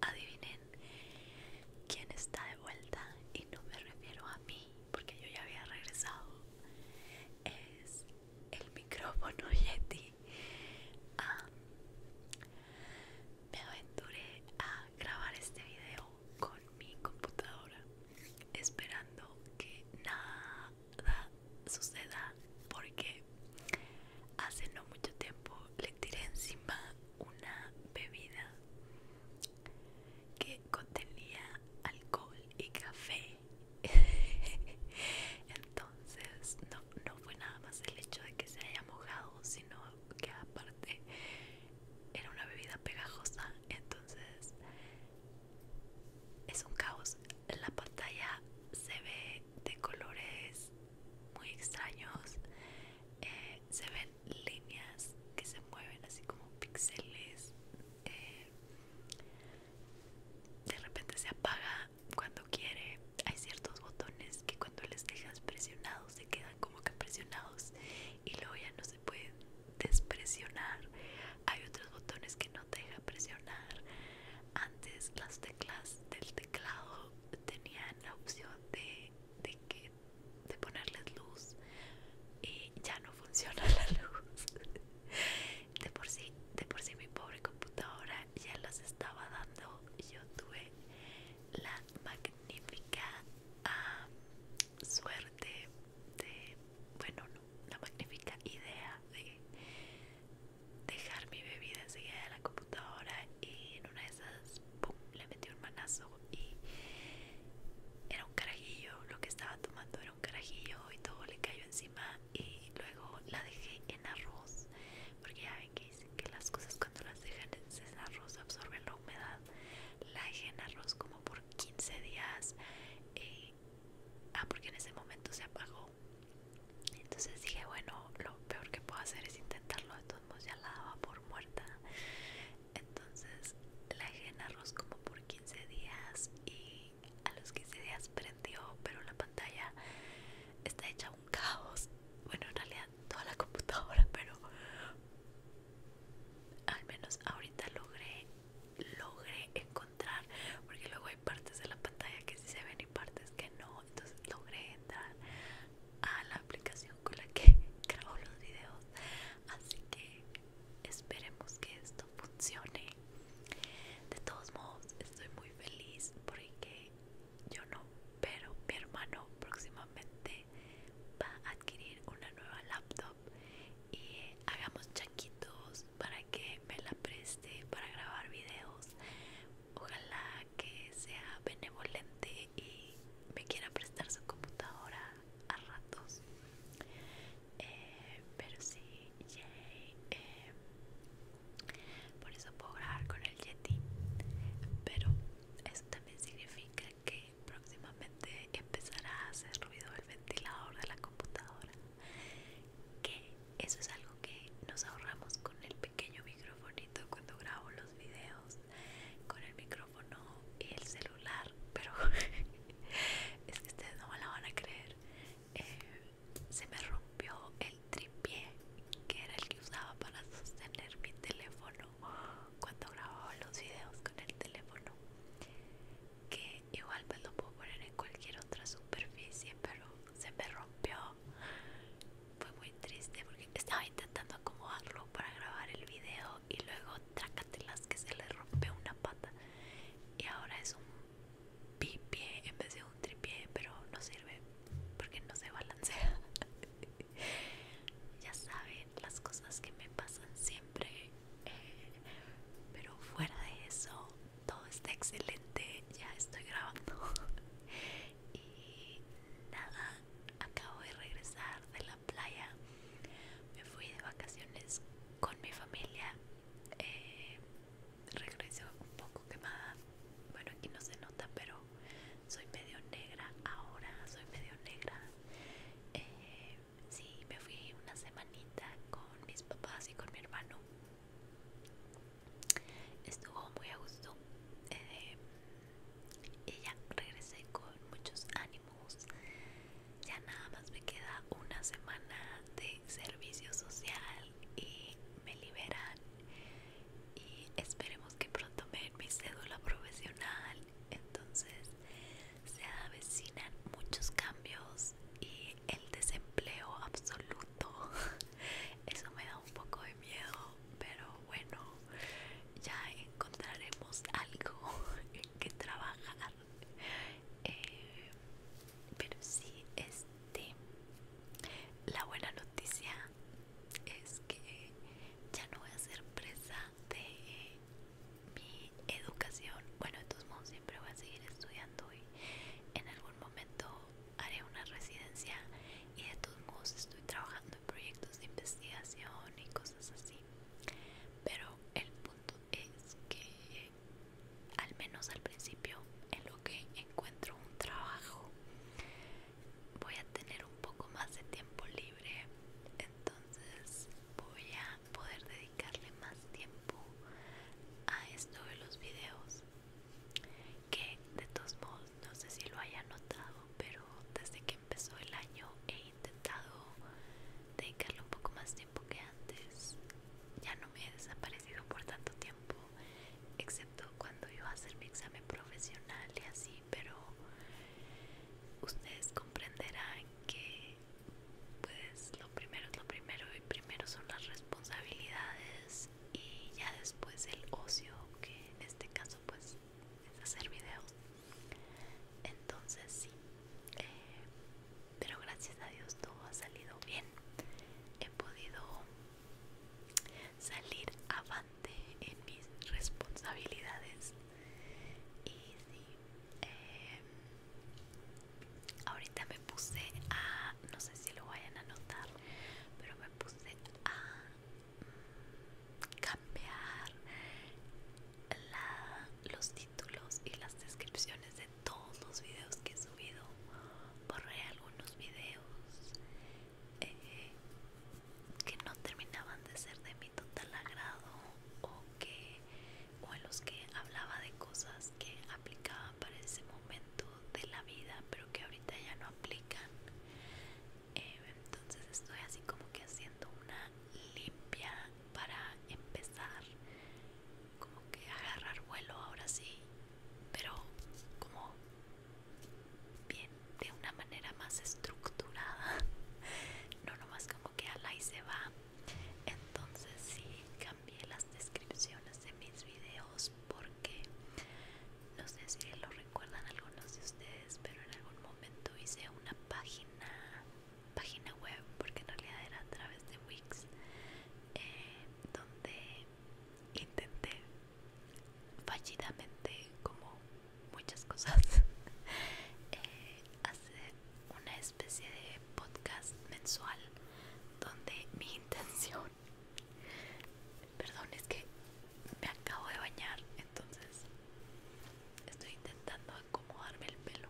Adivinen quién está de vuelta y no me refiero a mí porque yo ya había regresado. Es el micrófono Yeti. me aventuré a grabar este video con mi computadora esperando que nada suceda porque hace no mucho tiempo le tiré encima una bebida que contenía alcohol y café entonces no, no fue nada más el hecho de que se haya mojado sino que aparte era una bebida pegajosa entonces es un caos la pantalla se ve de colores muy extraños eh, se ven líneas que se mueven así como píxeles eh, de repente se apaga cuando quiere hay ciertos botones que cuando les dejas presionados se quedan como que presionados y luego ya no se pueden despresionar hay otros botones que no te deja presionar antes las teclas del teclado tenían la opción de, de, que, de ponerles luz y ya no funciona la luz. De por sí, de por sí mi pobre computadora ya las estaba dando y yo tuve la magnífica suerte de, bueno, no, la magnífica idea de dejar mi bebida enseguida de la computadora y en una de esas ¡pum! le metí un manazo y era un carajillo, lo que estaba tomando era un carajillo y todo le cayó encima y luego la dejé en arroz porque ya ven que dicen que las cosas cuando las dejan en arroz absorben la humedad la dejé en arroz como por 15 días y eh, ah porque en ese momento se apagó entonces dije, bueno, lo peor que puedo hacer es intentarlo, de todos modos ya la daba por muerta. Entonces la dejé en arroz como por 15 días y a los 15 días prendió, pero la pantalla está hecha un caos. Bueno, en realidad toda la computadora, pero al menos ahorita logré logré encontrar porque luego hay partes de la pantalla que sí se ven y partes que no entonces logré entrar a la aplicación con la que grabo los videos así que esperemos que esto funcione de todos modos estoy muy feliz porque yo no pero mi hermano próximamente va a adquirir una nueva laptop y hagamos chaquitos para que me la preste para grabar videos. Ojalá que sea benevolente y me quiera prestar su computadora a ratos. Eh, pero sí, eh, por eso puedo grabar con el Yeti. Pero eso también significa que próximamente empezará a hacer ruido el ventilador de la computadora. Que eso es algo que nos ahorramos con el pequeño microfonito cuando grabo los videos, con el micrófono y el celular, pero es que ustedes no me la van a creer. Eh, se me rompió el tripié que era el que usaba para sostener mi teléfono cuando grababa los videos con el teléfono que igual lo puedo poner en cualquier otra superficie pero se me rompió. Fue muy triste porque estaba intentando acomodarlo para grabar el video y luego las que se le rompió una pata. Y ahora es un pipié en vez de un tripié, pero no sirve porque no se balancea. ya saben las cosas que me pasan siempre. Eh, pero fuera de eso, todo está excelente, ya estoy grabando. y nada, acabo de regresar de la playa. Me fui de vacaciones con mi familia. Eh, regreso un poco quemada. Bueno, aquí no se nota, pero soy medio negra ahora, soy medio negra. Eh, sí, me fui una semanita con mis papás y con mi hermano estuvo muy a gusto eh, y ya regresé con muchos ánimos ya nada más me queda una semana de servicio social y me liberan y esperemos que pronto me den mi cédula profesional entonces se avecinan muchos cambios y el desempleo absoluto Eso me da un poco de miedo, pero bueno, ya encontraremos algo en que trabajar. Eh, pero sí, este, la buena noticia es que ya no voy a ser presa de mi educación. Bueno, de todos modos siempre voy a seguir estudiando y en algún momento haré una residencia y de todos modos estoy trabajando en proyectos de investigación y cosas así. Pero el punto es que al menos al principio en lo que encuentro un trabajo voy a tener un poco más de tiempo libre entonces voy a poder dedicarle más tiempo a esto de los videos que de todos modos no sé si lo haya notado pero desde que empezó el año he intentado dedicarle un poco más tiempo que antes ya no me he desaparecido por tanto tiempo excepto cuando iba a hacer mi examen profesional y así pero ustedes comprenderán que pues lo primero es lo primero y primero son las responsabilidades y ya después el ocio que en este caso pues es hacer videos entonces sí eh, pero gracias a Dios todo ha salido bien he podido salir avante en mis responsabilidades y sí eh, ahorita me puse a no sé si lo vayan a notar pero me puse a mm, cambiar los títulos y las descripciones de todos los videos que he subido borré algunos videos eh, que no terminaban de ser de mi total agrado o que o en los que hablaba de cosas que aplicaba para ese momento de la vida pero que ahorita ya no aplican eh, entonces estoy así como que haciendo una limpia para empezar como que agarrar vuelo ahora sí pero como bien de una manera más estructurada no nomás como que ala y se va entonces sí envié las descripciones de mis videos porque no sé si lo recuerdan algunos de ustedes pero en algún momento hice una página página web porque en realidad era a través de Wix eh, donde intenté fallidamente como muchas cosas eh, hacer una especie de podcast mensual donde mi intención perdón es que me acabo de bañar entonces estoy intentando acomodarme el pelo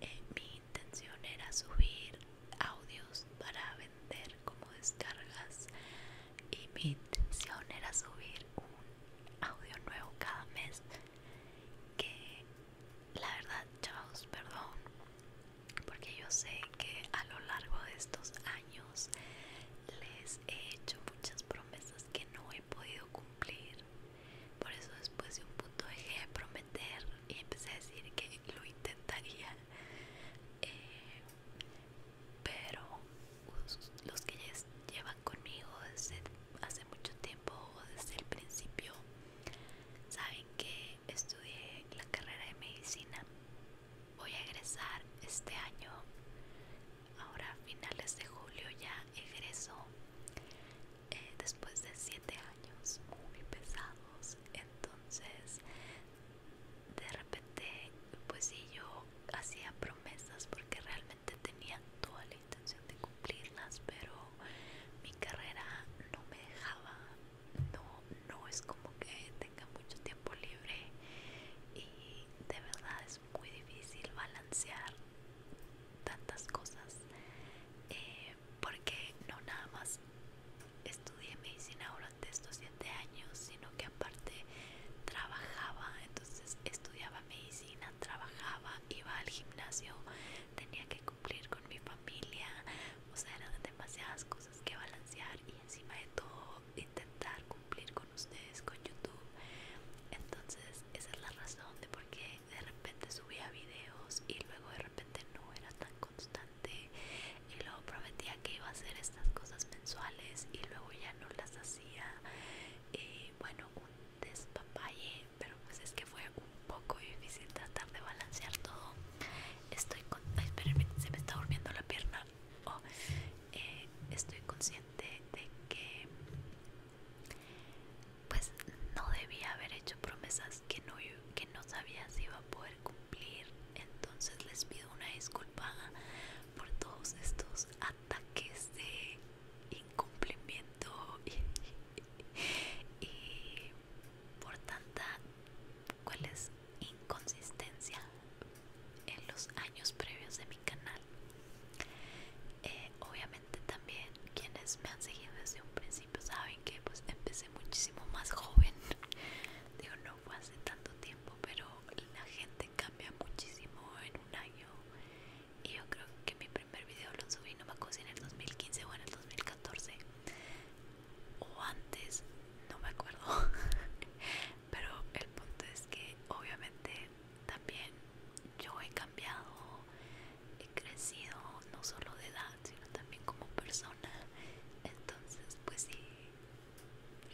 eh, mi intención era subir audios para vender como descargas y mi intención era subir un audio nuevo cada mes que la verdad, chavos, perdón, porque yo sé que a lo largo de estos años les he hecho muchas promesas que no he podido cumplir. Por eso después de un punto dejé de prometer y empecé a decir que lo intentaría. Eh, pero los que llevan conmigo desde hace mucho tiempo desde el principio saben que estudié la carrera de medicina. Voy a egresar este año. Ahora a finales de julio ya egreso. Eh, después de siete años muy pesados. Entonces, de repente, pues sí, yo hacía promesas porque realmente tenía toda la intención de cumplirlas, pero mi carrera no me dejaba no, no es como que tenga mucho tiempo libre y de verdad es muy difícil balancear tantas cosas eh, porque no nada más estudié medicina durante estos siete años sino que aparte trabajaba entonces estudiaba medicina trabajaba iba al gimnasio tenía que cumplir con mi familia, o sea, eran demasiadas cosas que balancear y encima de todo intentar cumplir con ustedes, con YouTube. Entonces, esa es la razón de por qué de repente subía videos y luego de repente no era tan constante y luego prometía que iba a hacer estas cosas mensuales y luego ya no las hacía. bueno, un despapalle, pero pues es que fue un poco difícil tratar de balancear todo. Estoy con... Ay, se me está durmiendo la pierna. Oh, eh, estoy consciente de que pues no debía haber hecho promesas que no, que no sabía si iba a poder cumplir. Entonces les pido una disculpa por todos estos ataques de incumplimiento y por tanta cuál es inconsistencia en los años previos de mi canal eh, obviamente también quienes me han seguido desde un principio saben que pues empecé muchísimo más joven digo no fue hace tanto tiempo pero la gente cambia muchísimo en un año y yo creo que mi primer video lo subí no me acuerdo en el 2015 o en el 2014 o antes, no me acuerdo. Pero el punto es que obviamente también yo he cambiado, he crecido no solo de edad, sino también como persona. Entonces, pues sí,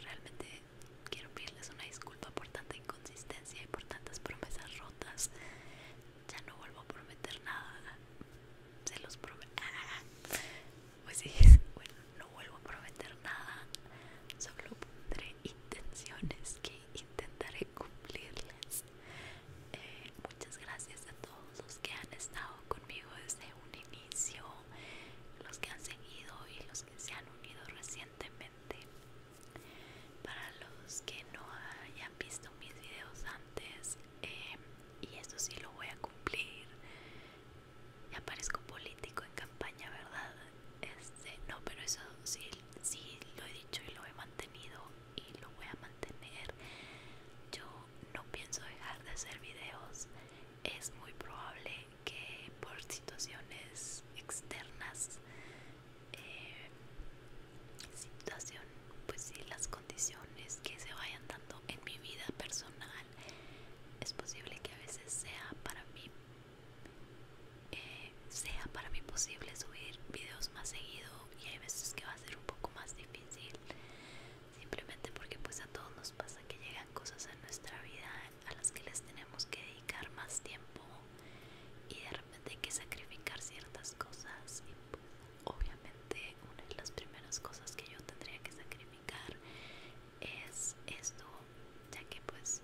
realmente quiero pedirles una disculpa por tanta inconsistencia y por tantas promesas rotas ya no vuelvo a prometer nada. Se los prometo. Pues sí, bueno, no vuelvo a prometer nada. Solo pondré intenciones que intentaré cumplirles eh, muchas gracias a todos los que han estado conmigo desde un inicio, los que han seguido y los que se han unido recientemente. Para los que no hayan visto mis videos antes, eh, y eso sí lo voy a cumplir ya parezco político en campaña verdad este no pero eso sí lo he dicho y lo he mantenido y lo voy a mantener yo no pienso dejar de hacer videos es muy probable que por situaciones externas eh, situación, pues si las condiciones que se vayan dando en mi vida personal, es posible que a veces sea para mí, eh, sea para mí posible subir videos más seguido y hay veces que va a ser un poco más difícil, simplemente porque pues a todos nos pasa que llegan cosas en nuestra vida a las que les tenemos que dedicar más tiempo y de repente hay que sacrificar ciertas cosas y pues obviamente una de las primeras cosas que yo tendría que sacrificar es esto, ya que pues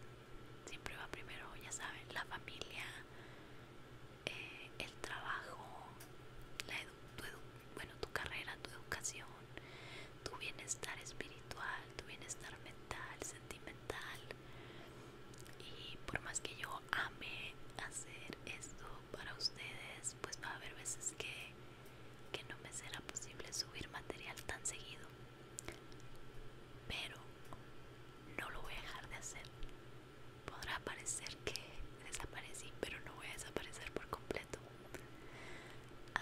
siempre va primero, ya saben, la familia, eh, el trabajo, tu bueno, tu carrera, tu educación, tu bienestar espiritual, tu bienestar mental, sentimental. Y por más que yo ame hacer esto, para ustedes pues va a haber veces que, no me será posible subir material tan seguido pero no lo voy a dejar de hacer podrá parecer que desaparecí pero no voy a desaparecer por completo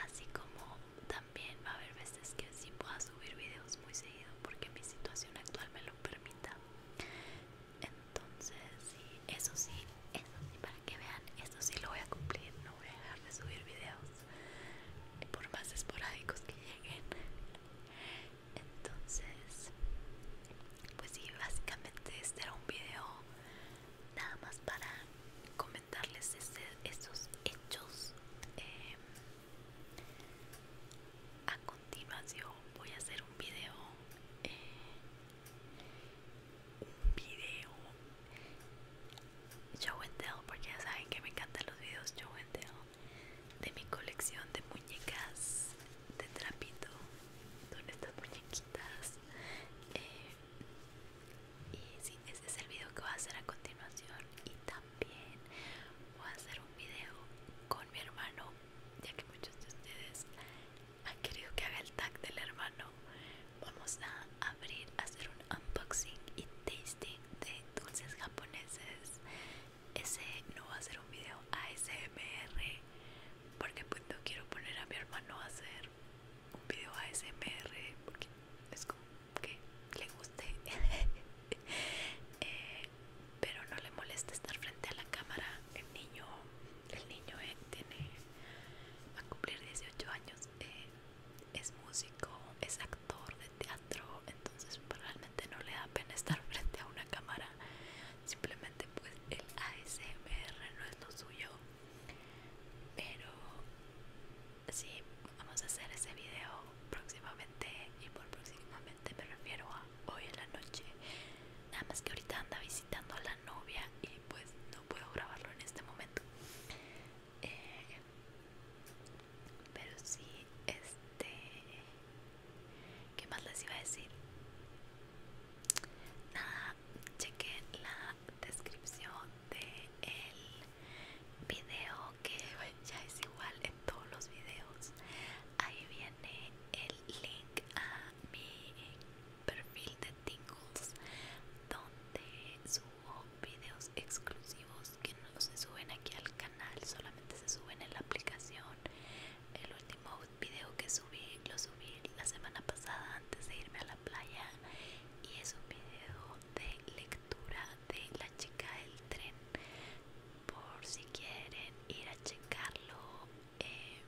así como también va a haber veces que sí pueda subir videos muy seguido porque mi situación actual me lo permita entonces sí, eso sí, eso sí, para que vean, eso sí lo voy a cumplir, no voy a dejar de subir videos por más esporádicos que lleguen. Entonces, pues sí, básicamente este era un video nada más para comentarles este, estos hechos eh, a continuación voy a hacer un video eh, un video show and tell porque ya saben que me encantan los videos show and tell de mi colección de muñecas de trapito son estas muñequitas eh, y sí, ese es el video que voy a hacer a continuación y también voy a hacer un video con mi hermano ya que muchos de ustedes ha querido que haga el tag del hermano, vamos a abrir, hacer un unboxing y tasting de dulces japoneses. Ese no va a ser un video ASMR porque pues no quiero poner a mi hermano a hacer un video ASMR porque es como que le guste. Eh, pero no le molesta estar frente a la cámara. El niño, el niño eh, tiene, va a cumplir 18 años, eh, es músico, es actor de teatro, entonces realmente no le da pena estar frente a una cámara. Simplemente pues el ASMR no es lo suyo. Pero sí, vamos a hacer ese video próximamente y por próximamente me refiero a hoy en la noche. Nada más que ahorita anda visitando a la novia y pues no puedo grabarlo en este momento. Eh, pero sí, este... ¿Qué más les iba a decir? Nada, cheque la descripción del el video que ya es igual en todos los videos ahí viene el link a mi perfil de Tingles donde subo videos exclusivos que no se suben aquí al canal solamente se suben en la aplicación el último video que subí lo subí la semana pasada antes de irme a la playa y es un video de lectura de la chica del tren por si quieren ir a checarlo eh,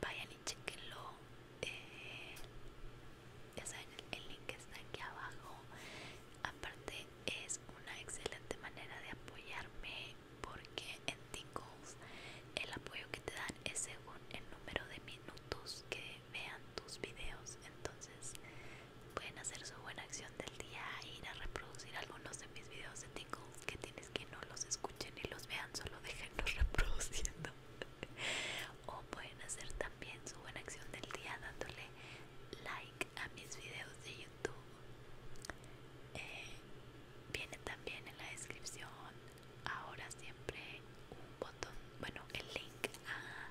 vayan y chequenlo eh, ya saben el, link está aquí abajo aparte es una excelente manera de apoyarme porque en Tingles el apoyo que te dan es según el número de minutos que vean tus videos entonces pueden hacer su buena acción del día ir a reproducir algunos de mis videos de Tingles que tienes que no los escuchen y los vean, solo déjenlos reproduciendo. o pueden hacer también su buena acción del día dándole like a mis videos de YouTube. Eh, viene también en la descripción ahora siempre un botón, bueno, el link a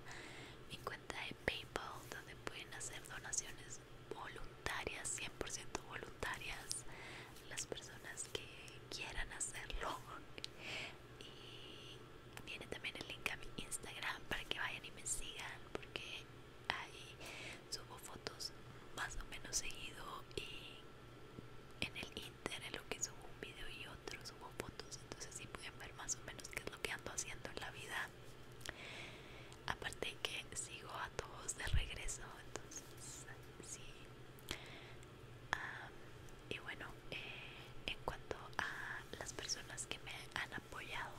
mi cuenta de PayPal donde pueden hacer donaciones voluntarias, 100% voluntarias, las personas que quieran hacerlo. Y viene también el link a mi Instagram para que vayan y me sigan, porque ahí subo fotos más o menos seguido y en el internet en lo que subo un video y otro subo fotos entonces si pueden ver más o menos qué es lo que ando haciendo en la vida aparte que sigo a todos de regreso entonces sí y bueno eh, en cuanto a las personas que me han apoyado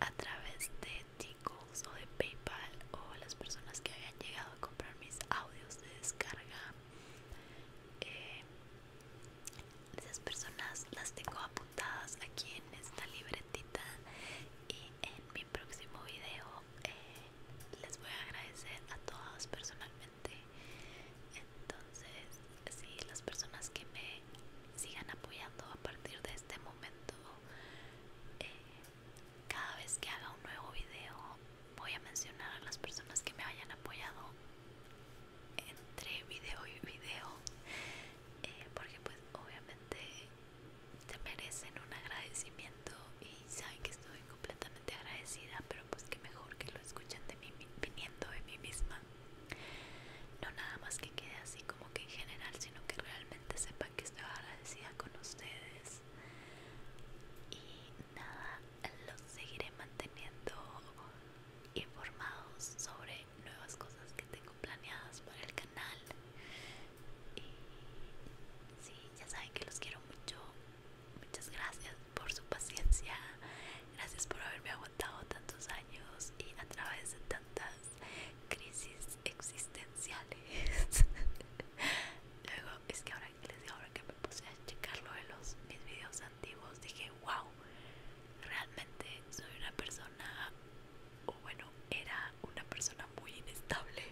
a través de T-Calls o de Paypal o las personas que habían llegado a comprar mis audios de descarga eh, esas personas las tengo apuntadas aquí en esta libretita y en mi próximo video eh, les voy a agradecer a todos personalmente entonces si las personas que me sigan apoyando a partir de este momento eh, cada vez que haga un nuevo video voy a mencionar a las personas que me hayan apoyado entre video y video eh, porque pues obviamente te merecen un agradecimiento y saben que estoy completamente agradecida, pero pues que mejor que lo escuchen de mí, viniendo de mí misma. No nada más que quede así como que en general, sino que realmente sepan que estoy agradecida con ustedes. Y nada, los seguiré manteniendo informados sobre nuevas cosas que tengo planeadas para el canal. Y sí, ya saben que los quiero mucho. Muchas gracias por su paciencia. Gracias por haberme aguantado tantos años y a través de tantas crisis existenciales. Luego, es que ahora que les digo, ahora que me puse a checarlo de los mis videos antiguos, dije, wow, realmente soy una persona o bueno, era una persona muy inestable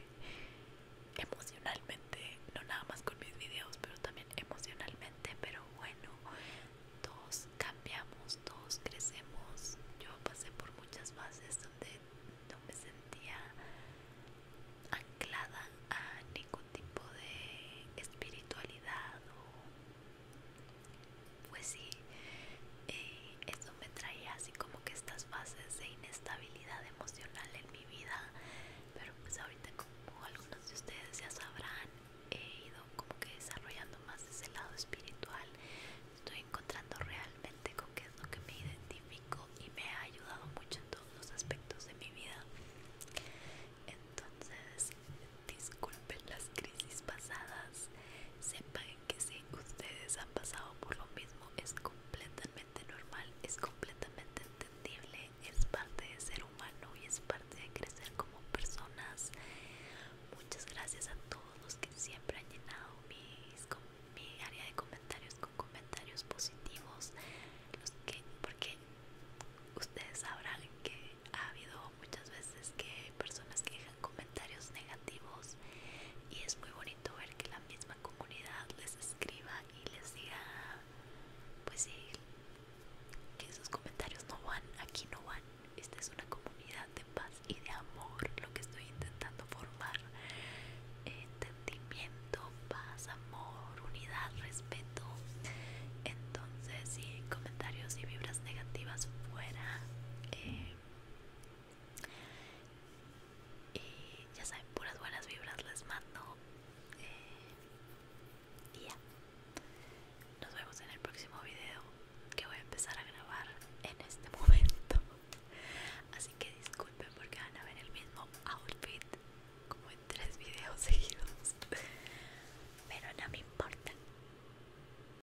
emocionalmente, no nada más con mis videos, pero también emocionalmente, pero bueno, todos cambiamos, todos crecemos. Yo pasé por muchas fases donde no me sentía anclada a ningún tipo de espiritualidad pues sí, eh, eso me traía así como que estas fases de inestabilidad emocional en mi vida, pero pues ahorita como algunos de ustedes ya sabrán, he ido como que desarrollando más ese lado espiritual, estoy encontrando realmente con qué es lo que me identifico y me ha ayudado mucho en todos los aspectos de mi vida. Entonces, disculpen las crisis pasadas, sepan que si ustedes han pasado por lo mismo es completamente normal, es completamente entendible, es parte de ser humano y es parte de crecer como personas. Muchas gracias a todos los que siempre han llenado mi área de comentarios con comentarios positivos, porque ustedes sabrán que ha habido muchas veces que personas que dejan comentarios negativos y es muy bonito ver que la misma comunidad les escriba y les diga pues sí que esos comentarios no van aquí no van esta es una comunidad de paz y de amor lo que estoy intentando formar entendimiento paz amor unidad respeto entonces si comentarios y vibras negativas fuera eh, y eh, ya saben, puras buenas vibras les mando. Eh, y ya. Nos vemos en el próximo video que voy a empezar a grabar en este momento. Así que disculpen porque van a ver el mismo outfit como en tres videos seguidos. Pero no me importa.